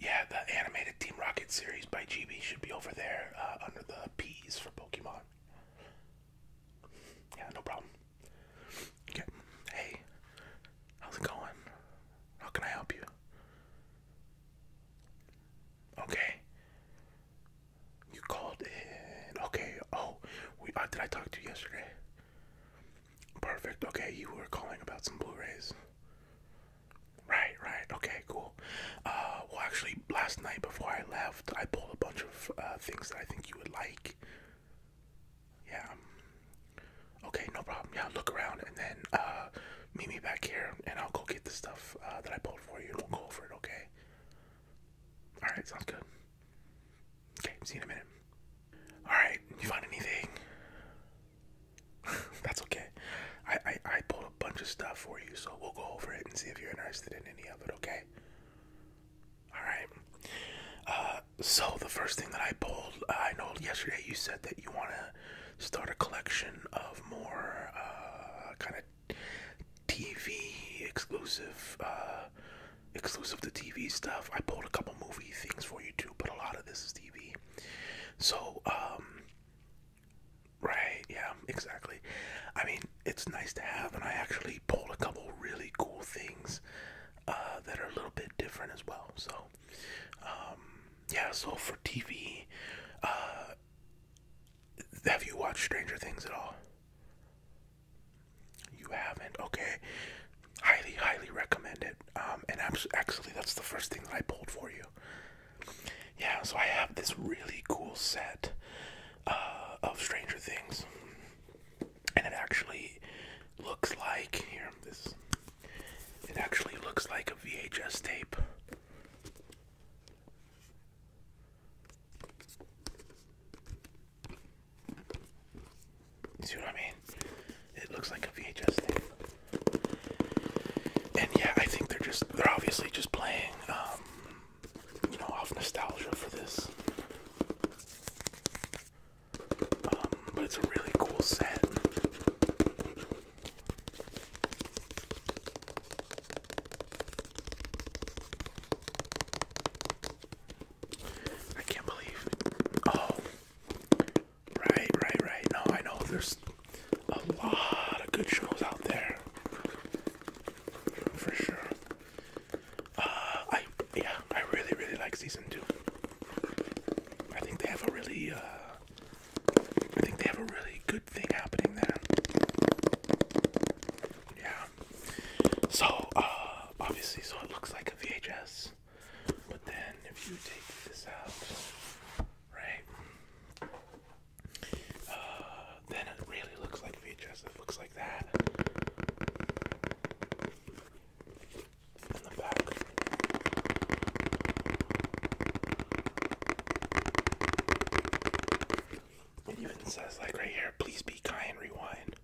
Yeah, the animated Team Rocket series by GB should be over there uh, under the P's for Pokemon. Yeah, no problem. Okay. Hey, how's it going? How can I help you? Okay. You called in. Okay. Oh, we. Uh, did I talk to you yesterday? Perfect. Okay, you were calling about some Blu-rays. Right. Right. Okay. Cool. Uh, well, actually, last night before I left, I pulled a bunch of uh, things that I think you would like. Yeah. Okay. No problem. Yeah. Look around and then uh, meet me back here, and I'll go get the stuff uh, that I pulled for you and we go over it, okay? Alright, sounds good. Okay, see in a minute. Alright, you find anything? That's okay. I, I, pulled a bunch of stuff for you, so we'll go over it and see if you're interested in any of it, okay? Alright. Uh, so, the first thing that I pulled, uh, I know yesterday you said that you want to start a collection of more uh, kind of TV exclusive, uh, exclusive to TV stuff. I pulled a couple movie things for you too, but a lot of this is TV. So, um, right, yeah, exactly. I mean, it's nice to have, and I actually pulled a couple really cool things uh, that are a little bit different as well. So, um, yeah, so for TV, uh, have you watched Stranger Things at all? You haven't. Okay. Highly, highly recommend it. Um, and actually, that's the first thing that I pulled for you. Yeah, so I have this really cool set uh, of Stranger Things, and it actually looks like here this. It actually looks like a VHS tape. See what I mean? It looks like a VHS thing. And yeah, I think they're just, they're obviously just playing, um, you know, off nostalgia for this. Um, but it's a really cool set. I can't believe. Oh, right, right, right. No, I know there's a lot of good shows out there for sure. Uh, I yeah, I really, really like season two. I think they have a really uh, I think they have a really good thing happening there. Yeah. So, uh, obviously, so it looks like a VHS, but then if you take this out, right? Uh, then it really looks like VHS. It looks like that. In the back. It even says, like right here, please be kind, rewind.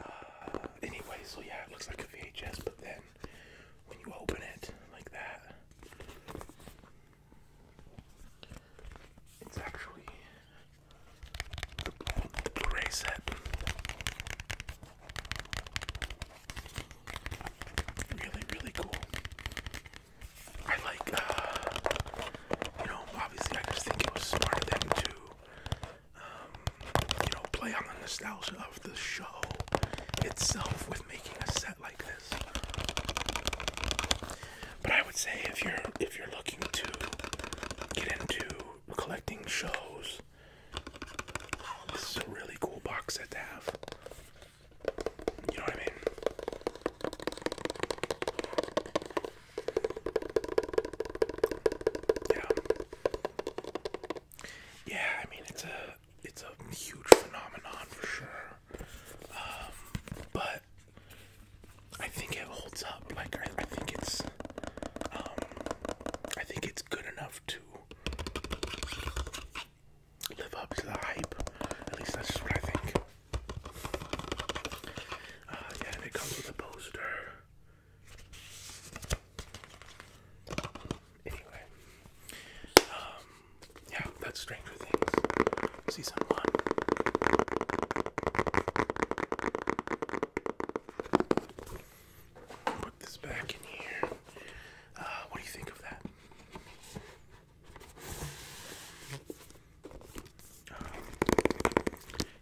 Uh, anyway, so yeah, it looks like a VHS, but then when you open it like that, it's actually a Blu-ray set. Really, really cool. I like, uh, you know, obviously I just think it was smart of them to, um, you know, play on the nostalgia of the show itself with making a set like this. But I would say if you're if you're looking to get into collecting shows this is a really cool box set to have. You know what I mean? Yeah. Yeah, I mean it's a it's a huge phenomenon for sure. Um, but I think it holds up. Like I think it's um, I think it's good enough to live up to the hype. At least that's what I think. Uh, yeah, it comes with a poster. Anyway, um, yeah, that's Stranger Things, season one. Put this back in here. Uh, what do you think of that? Um,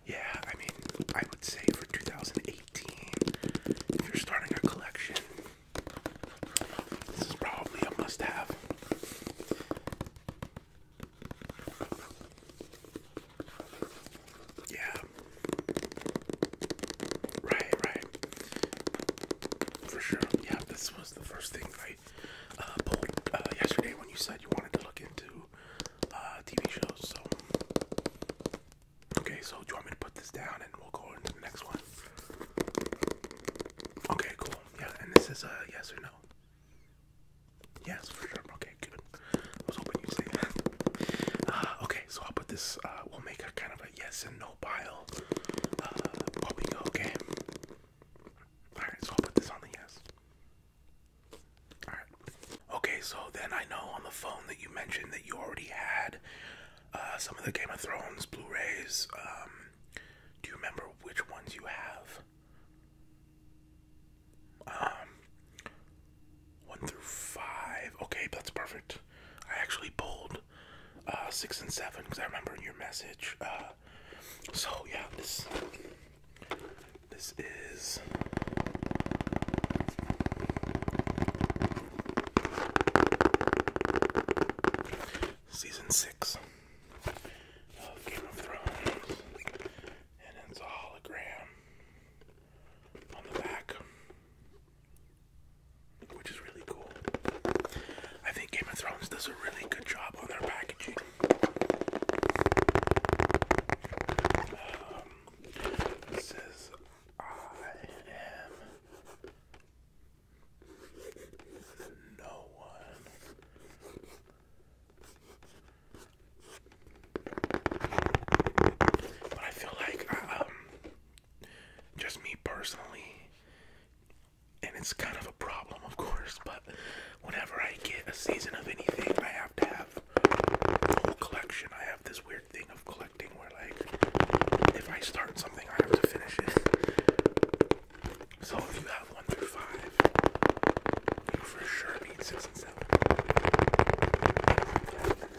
yeah, I mean, I would say for 2018, if you're starting a collection, this is probably a must have. Yeah. Right, right. For sure. Yeah, this was the first thing I uh, pulled uh, yesterday when you said you wanted to look into uh, TV shows. So, okay, so do you want me to put this down and we'll go into the next one? Okay, cool. Yeah, and this is a yes or no. Yes, for sure. Okay, good. Uh, okay, so I'll put this, uh, we'll make a kind of a yes and no pile uh, okay? Alright, so I'll put this on the yes. Alright. Okay, so then I know on the phone that you mentioned that you already had some of the Game of Thrones Blu rays. Um, do you remember which ones you have? Um, one through five. Okay, that's perfect. I actually pulled uh, six and seven because I remember your message. Uh, so yeah, this this is. Season 6 of Game of Thrones, and it's a hologram on the back, which is really cool. I think Game of Thrones does a really good job on their packaging. Um, it I am no one. But I feel like, um, just me personally, and it's kind of a problem, of course, but whenever I get a season of anything, I have to have a whole collection. I have this weird thing of collecting where, like, if I start something, I have to finish it. So if you have one through five, you for sure need six and seven.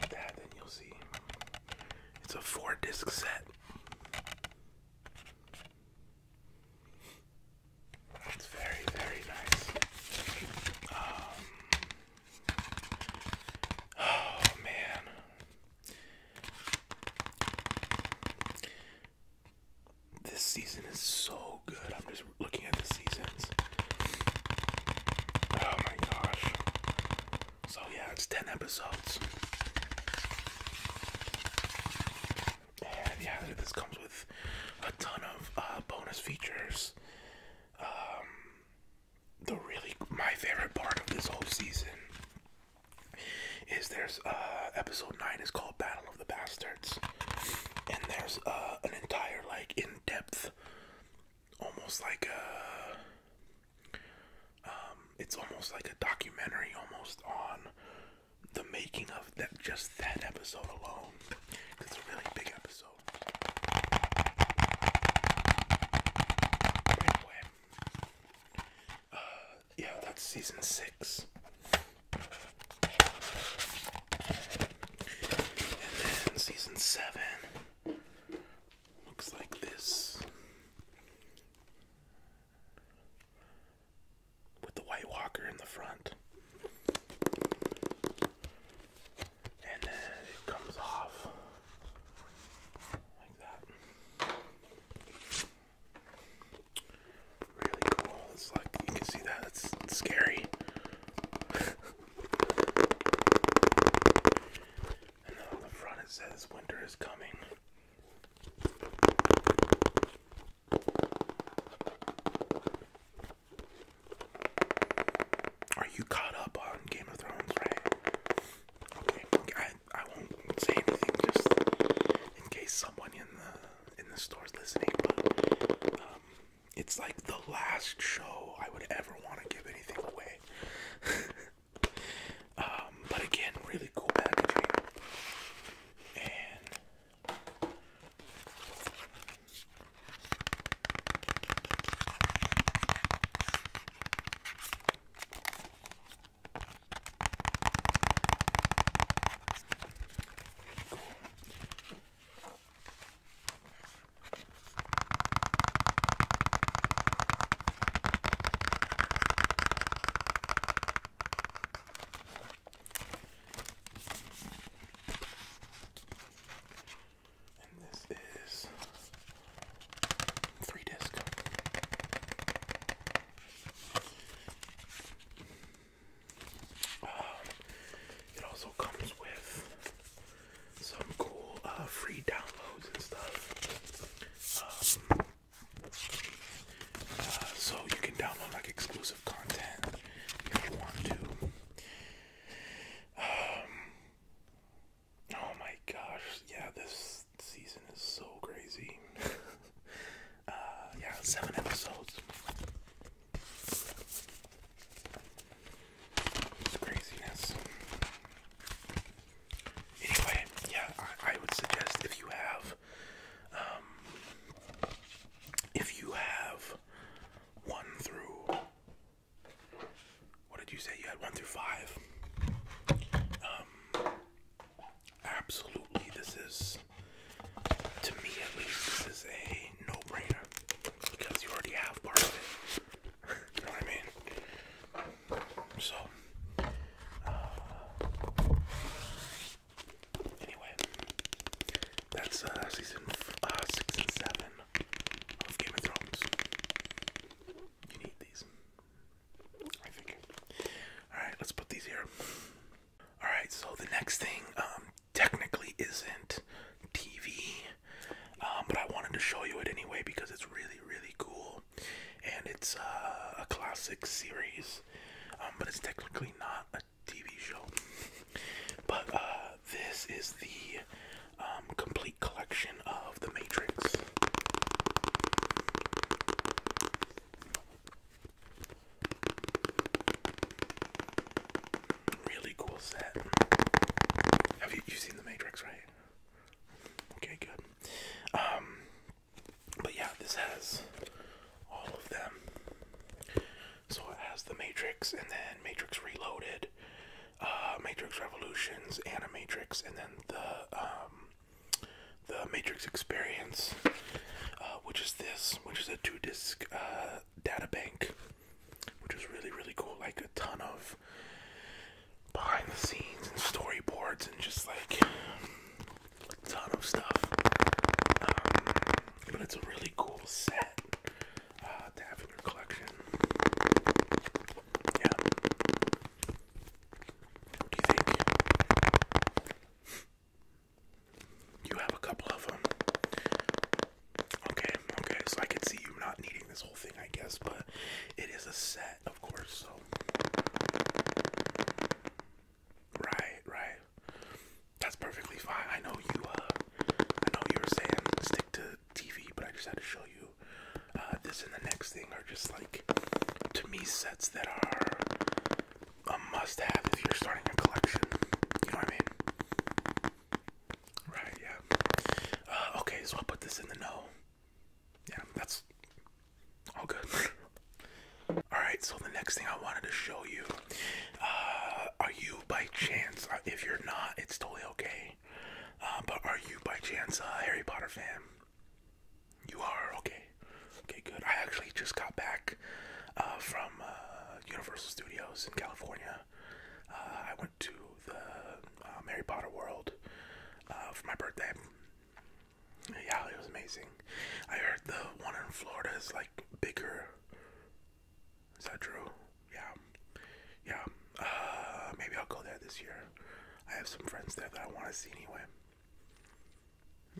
like that, then you'll see. It's a four disc set. It's very, very nice. Um, oh man. This season is so good. I'm just looking at the seasons. Oh my gosh. So yeah, it's 10 episodes. And yeah, this comes with a ton of uh, bonus features. Um, the really my favorite part of this whole season is there's uh, episode nine is called Battle of the Bastards, and there's uh, an entire like in-depth almost like a um, it's almost like a documentary almost on the making of that just that episode alone. It's a really big episode. Anyway, uh, yeah, that's season six. And then season seven Looks like this with the White Walker in the front. And then it comes off like that. Really cool. It's like you can see that. It's, scary. And then on the front it says, Winter is coming. Are you caught up on Game of Thrones, right? Okay, I, I won't say anything just in case someone in the in the store's listening. But um, it's like the last show I would ever want to give anything away right? um, but again, really cool packaging. And this is three disc. Um, ah, it also comes with some cool uh, free downloads and stuff. Um, uh, so you can download like exclusive content if you want to. Um, oh my gosh, yeah, this season is so crazy. Uh, yeah, seven episodes craziness. Anyway, yeah, I, would suggest if you have, um, if you have one through, what did you say? You had one through five. Um, absolutely, this is, to me at least, this is a no-brainer because you already have part of it you know what I mean? So, uh, anyway, that's uh, season uh, six and seven of Game of Thrones. You need these, I think. All right, let's put these here. All right, so the next thing um, technically isn't TV um, but I wanted to show you it anyway because it's really really cool, and it's uh, a classic series, um, but it's technically not a TV show. But uh, this is the um, complete collection of The Matrix. Really cool set. Have you seen The Matrix, right? Okay, good. Um, but yeah, this has all of them. So it has the Matrix, and then Matrix Reloaded, uh, Matrix Revolutions, Animatrix, and then the um, the Matrix Experience, uh, which is this, which is a two-disc uh, data bank, which is really really cool. Like a ton of behind the scenes and storyboards and just like a ton of stuff. Um, but it's a really cool set uh, collection. Yeah. You have a couple of them. Okay, okay, so I can see you not needing this thing, I guess, but it is a set, of course, so. Right, right. That's perfectly fine. I know you, uh, I know you were saying stick to TV, but I just had to show you uh, this and the next thing are just like, to me, sets that are a must have if you're starting a collection. You know what I mean? Right, yeah. Uh, okay, so I'll put this in the no yeah, that's all good. all right, so the next thing I wanted to show you, uh, are you by chance? Uh, if you're not, it's totally okay. Uh, but are you by chance a Harry Potter fan? You are okay. Okay, good. I actually just got back from Universal Studios in California. Uh, I to the um, uh, Harry Potter World uh, for my birthday. Yeah, it was amazing. I heard the one in Florida is like bigger. Is that true? Yeah, yeah. Uh, maybe I'll go there this year. I have some friends there that I want to see anyway.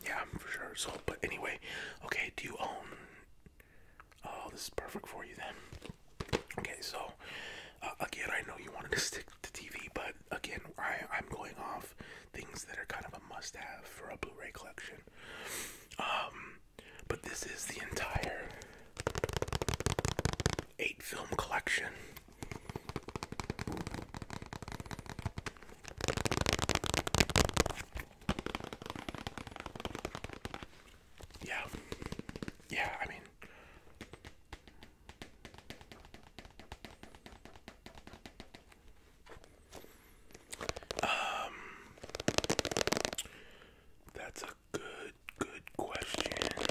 Yeah, for sure. So, but anyway, okay. Do you own? Oh, this is perfect for you then. Okay, so uh, again, I know you wanted to stick to TV, but again, I, I'm going off things that are kind of a must-have for a Blu-ray collection. Um, but this is the entire eight-film collection. Yeah, yeah. I mean, um, that's a good, good question.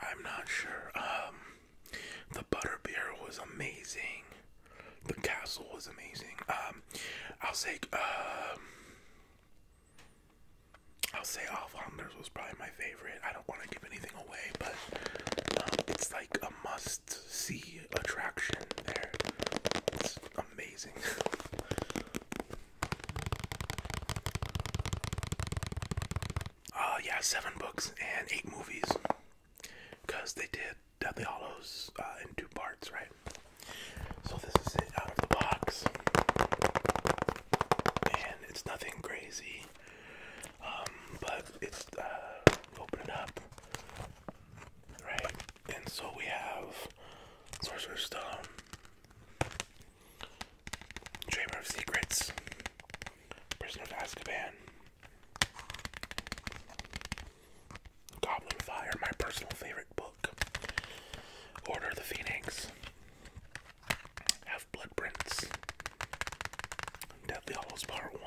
I'm not sure. Um, the butterbeer was amazing. The castle was amazing. Um, I'll say, um, uh, I'll say Off Hunters was probably my favorite. I don't want to give anything away, but um, it's like a must see attraction there. It's amazing. uh, yeah, seven books and eight movies. Because they did Deathly Hollows uh, in two parts, right? So this is it out of the box. And it's nothing crazy. Um, but it's uh, open it up, right? And so we have Sorcerer Stone, Dreamer of Secrets, Prisoner of Azkaban, Goblin Fire, my personal favorite book, Order of the Phoenix, have blood prints. Deathly Hollows Part 1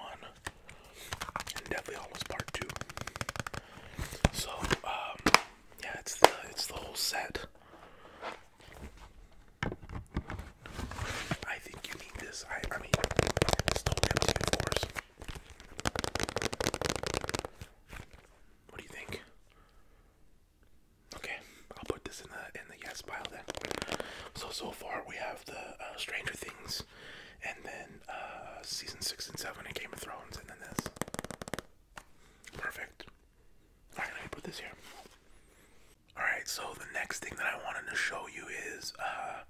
Deathly Hollows Part 2. So, um, yeah, it's the, it's the whole set. I think you need this. I, mean, it's the whole What do you think? Okay, I'll put this in the in the yes pile then. So so far we have the uh, Stranger Things, and then uh, season six and seven and Game of Thrones, and then this. Perfect. All right, let me put this here. All right, so the next thing that I wanted to show you is uh,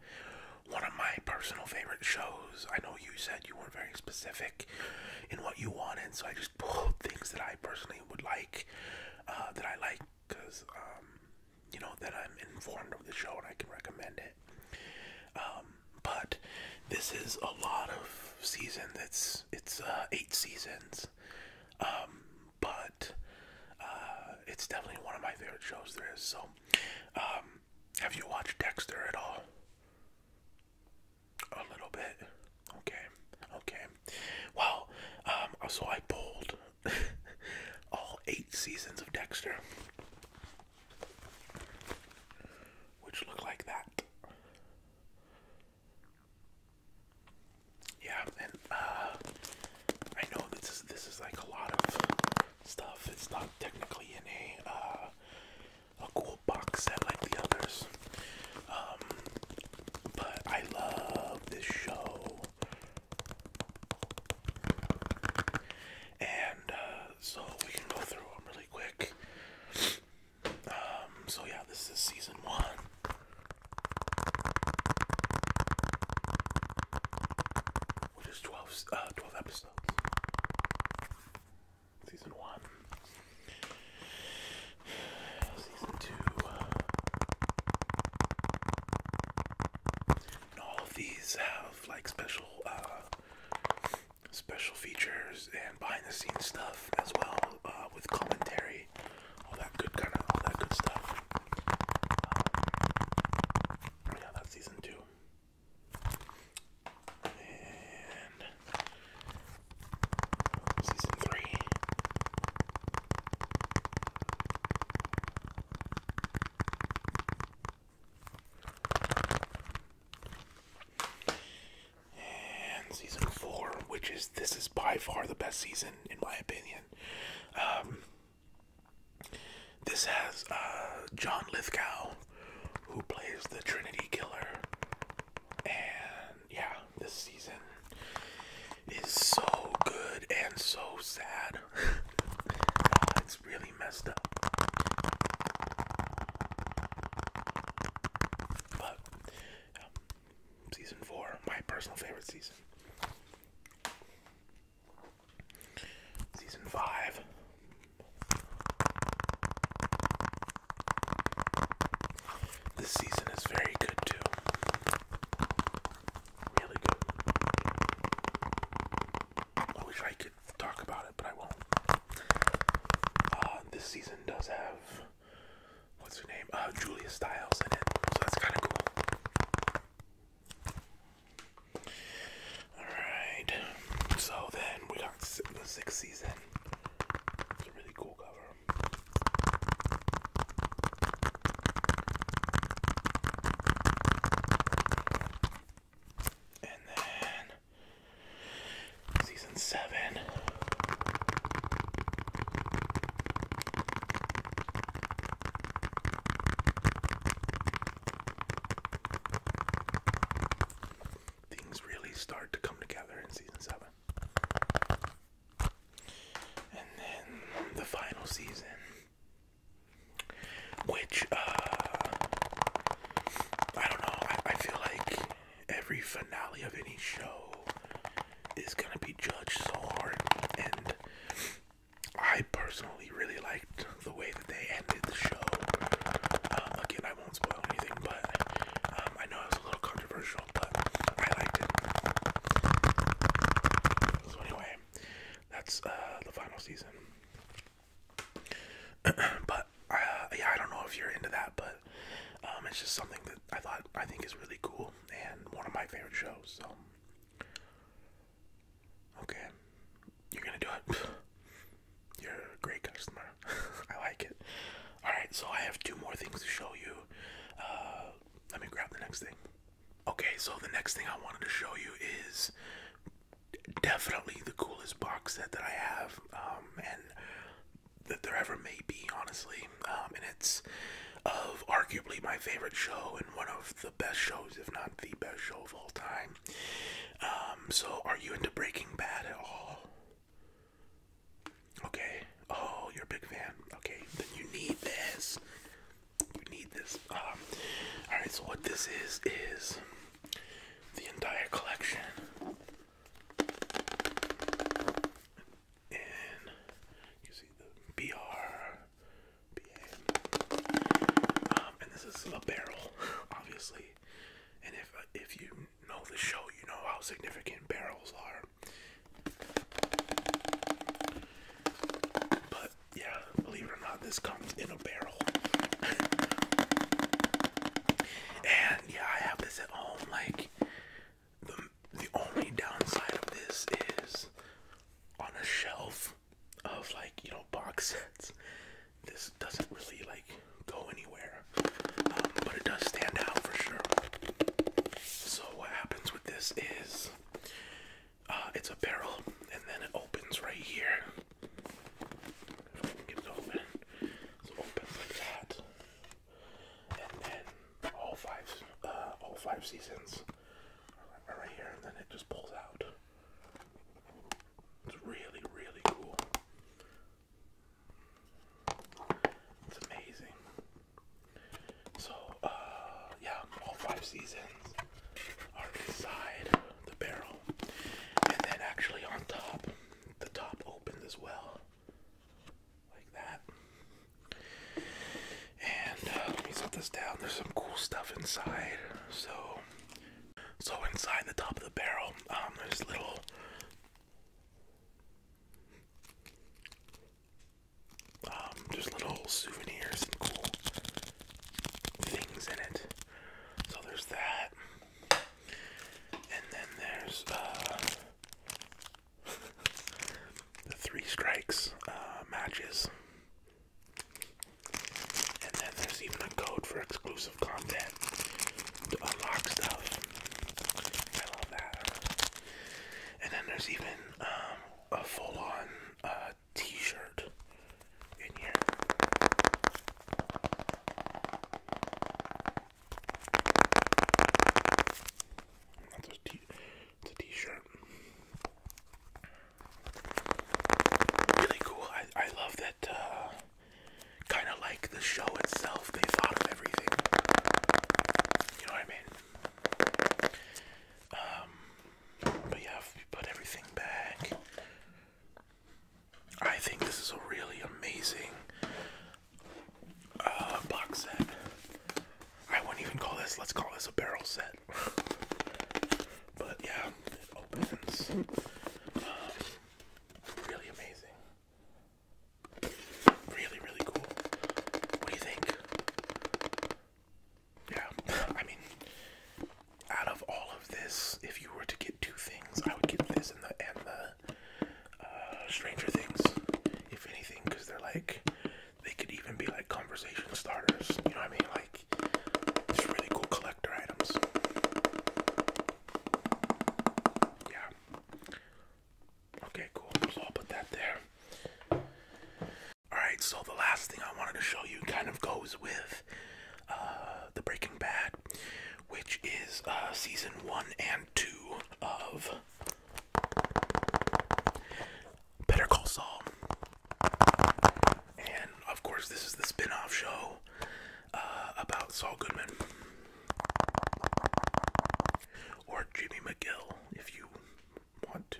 one of my personal favorite shows. I know you said you weren't very specific in what you wanted, so I just pulled things that I personally would like, uh, that I like, because, um, you know, that I'm informed of the show and I can recommend it. Um, but this is a lot of seasons. It's it's uh, eight seasons, um, but uh, it's definitely one of my favorite shows there is. So, have you watched Dexter at all? A little bit. Okay, okay. Well, um, so I pulled all eight seasons of Dexter, which look like that. Yeah, and uh, I know this is this is like a lot of stuff. It's not technically in a uh, a cool box set like the others. Um, but I love this show. And uh, so we can go through them really quick. Um, so, yeah, this is season one. Which is 12, uh, episodes. Season one. Season 2. all of these have like special uh, special features and behind the scenes stuff as well uh, with commentary, all that good kind of all that good stuff. Um, yeah, that's season 2. And Season three. And season four, which is this is by far the best season in my opinion. Um, this has uh, John Lithgow, who plays the Trinity Killer, and yeah, this season is so good and so sad. Uh, it's really messed up. But um, season four, my personal favorite season. Season five. This season is very good too. Really good. I wish I could talk about it, but I won't. Uh, this season does have what's her name? Uh, Julia Stiles in it, so that's kind of cool. All right. So then we got the sixth season. It's a really cool cover. And then season seven. Things really start to come together in season seven. And then the final season, which, uh, I don't know, I, feel like every finale of any show is gonna be judged so hard. And I personally really liked the way that they ended the show. Uh, again, I won't spoil anything, but um, I know it a little controversial but I liked it. So anyway, that's uh, the final season. but uh, yeah, I don't know if you're into that, but um, it's just something that I thought I think is really cool and one of my favorite shows. So okay, you're gonna do it. You're a great customer. I like it. All right, so I have two more things to show you. Uh, uh, let me grab the next thing. Okay, so the next thing I wanted to show you is definitely the coolest box set that I have, um, and that there ever may be, honestly. Um, and it's of arguably my favorite show and one of the best shows, if not the best show of all time. Um, so, are you into Breaking Bad at all? Okay. Oh, you're a big fan. Okay, then you need this. You need this. Um, all right. So what this is is the entire collection and you see the BR, BA, um, and this is a barrel, obviously. And if uh, if you know the show, you know how significant barrels are. But yeah, believe it or not, this comes in a barrel. and yeah, I have this at home. Like, the, the only downside of this is on a shelf of like, you know, box sets. This doesn't really like go anywhere, um, but it does stand out for sure. So, what happens with this is uh, it's a barrel, and then it opens right here. If it open, so it like that, and then all five, uh, all five seasons are right here, and then it just pulls out. It's really, really cool. It's amazing. So, uh, yeah, all five seasons are inside the barrel, and then actually on top, the top opens as well, like that. And uh, let me set this down. There's some cool stuff inside. So, so inside the top of the barrel, um, there's little. Um, there's little souvenirs and cool things in it. So there's that. And then there's uh, the Three Strikes uh, matches. And then there's even a code for exclusive content to unlock stuff. I love that. And then there's even um, a full-on uh, t-shirt in here. That's a t it's a t-shirt. Really cool. I, I love that uh, kind of like the show itself. They thought of everything. You know what I mean? Um, but yeah, put everything back, I think this is a really amazing uh, box set. I wouldn't even call this, let's call this a barrel set. but yeah, opens. Um, really amazing. Really, really cool. What do you think? Yeah, I mean, out of all of this, if you were to get two things, I would get this and the uh, Stranger Things, if anything, because they're like they could even be like conversation starters. You know what I mean? Like, really cool collector items. Yeah. Okay, cool. So I'll put that there. Alright, so the last thing I wanted to show you kind of goes with uh, the Breaking Bad, which is uh, season one and two of Better Call Saul. And of course, this is the spin off show uh, about Saul Goodman. Or Jimmy McGill, if you want to.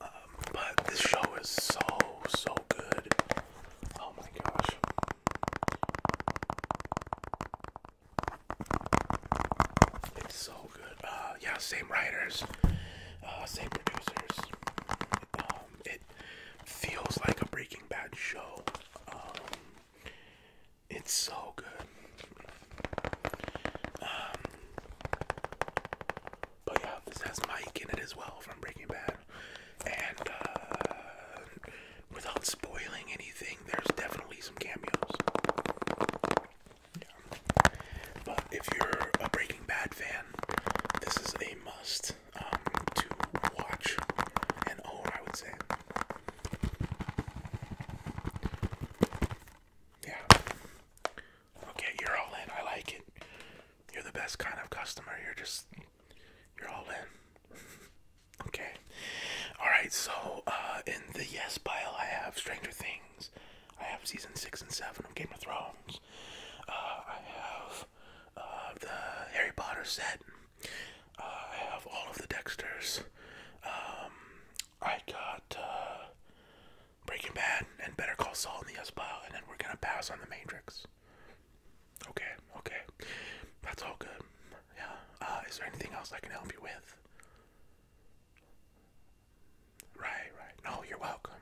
Um, but this show is so, so good. Oh my gosh. It's so good. Uh, yeah, same writers, uh, same producers. Um, it feels like a Breaking Bad show. Um, it's so good. Um, but yeah, this has Mike in it as well from Breaking Bad. And uh, without spoiling anything, there's definitely some cameos. But if you're a Breaking Bad fan, this is a must um, to watch and own, I would say. Yeah. Okay, you're all in. I like it. You're the best kind of customer. You're just, you're all in. okay. All right. So, uh, in the yes pile, I have Stranger Things. I have season six and seven of Game of Thrones. Uh, I have uh, the Harry Potter set. I have all of the Dexters. Um, I got uh, Breaking Bad and Better Call Saul in the S pile, and then we're gonna pass on The Matrix. Okay, okay, that's all good. Yeah. Uh, is there anything else I can help you with? Right, right. No, you're welcome.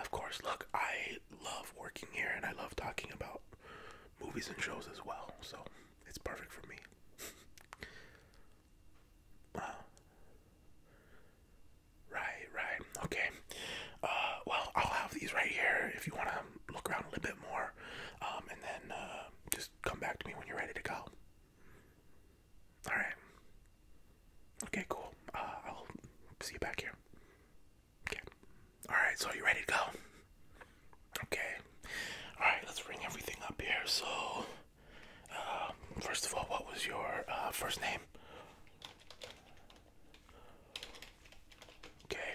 Of course. Look, I love working here, and I love talking about movies and shows as well. So it's perfect for me. Uh, right, right. Okay. Uh, well, I'll have these right here if you want to look around a little bit more, um, and then uh, just come back to me when you're ready to go. All right. Okay, cool. Uh, I'll see you back here. Okay. All right. So you ready to go? Okay. All right. Let's ring everything up here. So um, first of all, what was your uh, first name? Okay,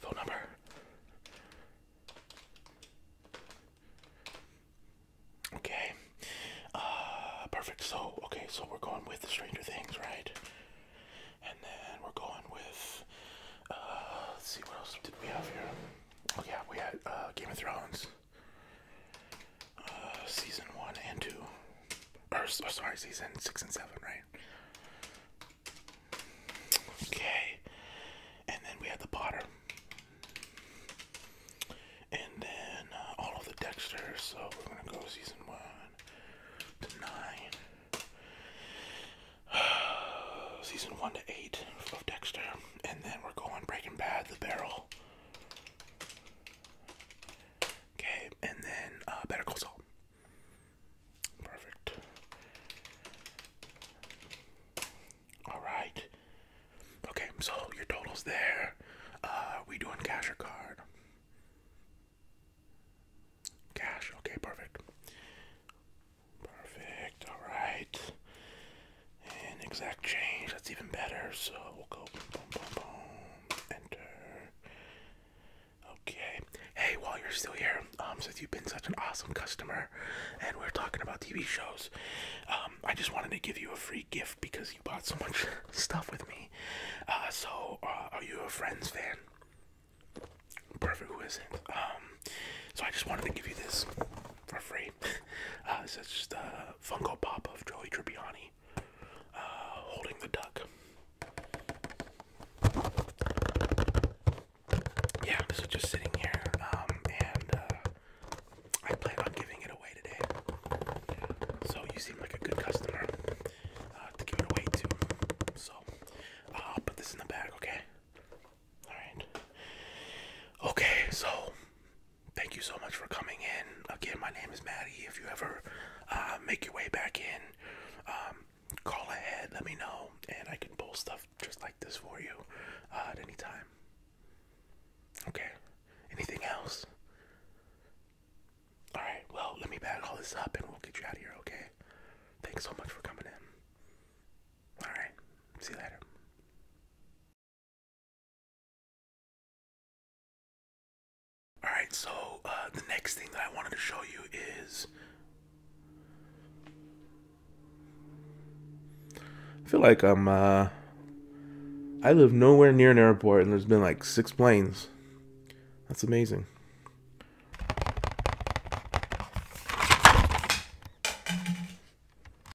phone number. Okay, uh, perfect. So, okay, so we're going with Stranger Things, right? And then we're going with, uh, let's see, what else did we have here? Oh, yeah, we had uh, Game of Thrones. Uh, season one and two, or oh, sorry, season six and seven, right? Okay, and then we had the Potter, and then uh, all of the Dexter. So we're gonna go season one to nine, season one to eight of Dexter and then we're going Breaking Bad, The Barrel. Okay, and then uh, Better Call Saul. Perfect. All right. Okay, so your total's there. Uh, we doing cash or card? Cash. Okay, perfect. Perfect. All right. And exact change, that's even better. So we'll go boom, boom, boom, boom, enter. Okay. Hey, while you're still here, um, since you've been such an awesome customer and we're talking about TV shows, um, I just wanted to give you a free gift because you bought so much stuff with me. Uh, so, uh, are you a Friends fan? Perfect, who isn't? Um, so I just wanted to give you this for free. this is uh, it's just a uh, Funko Pop of Joey Tribbiani uh, holding the duck. Yeah, this is just sitting here, um, and I plan on giving it away today. So you seem like a good customer to give it away to. So I'll put this in the bag, okay? Alright. Okay, so thank you so much for coming in. Again, my name is Maddie. If you ever uh, make your way back in, um, call ahead, let me know, and I can pull stuff just like this for you uh, at any time. Okay, anything else? Alright, well, let me bag all this up and we'll get you out of here, okay? Thanks so much for coming in. Alright, see you later. Alright, so uh, the next thing that I wanted to show you is. I feel like I'm. Uh, I live nowhere near an airport and there's been like six planes. That's amazing.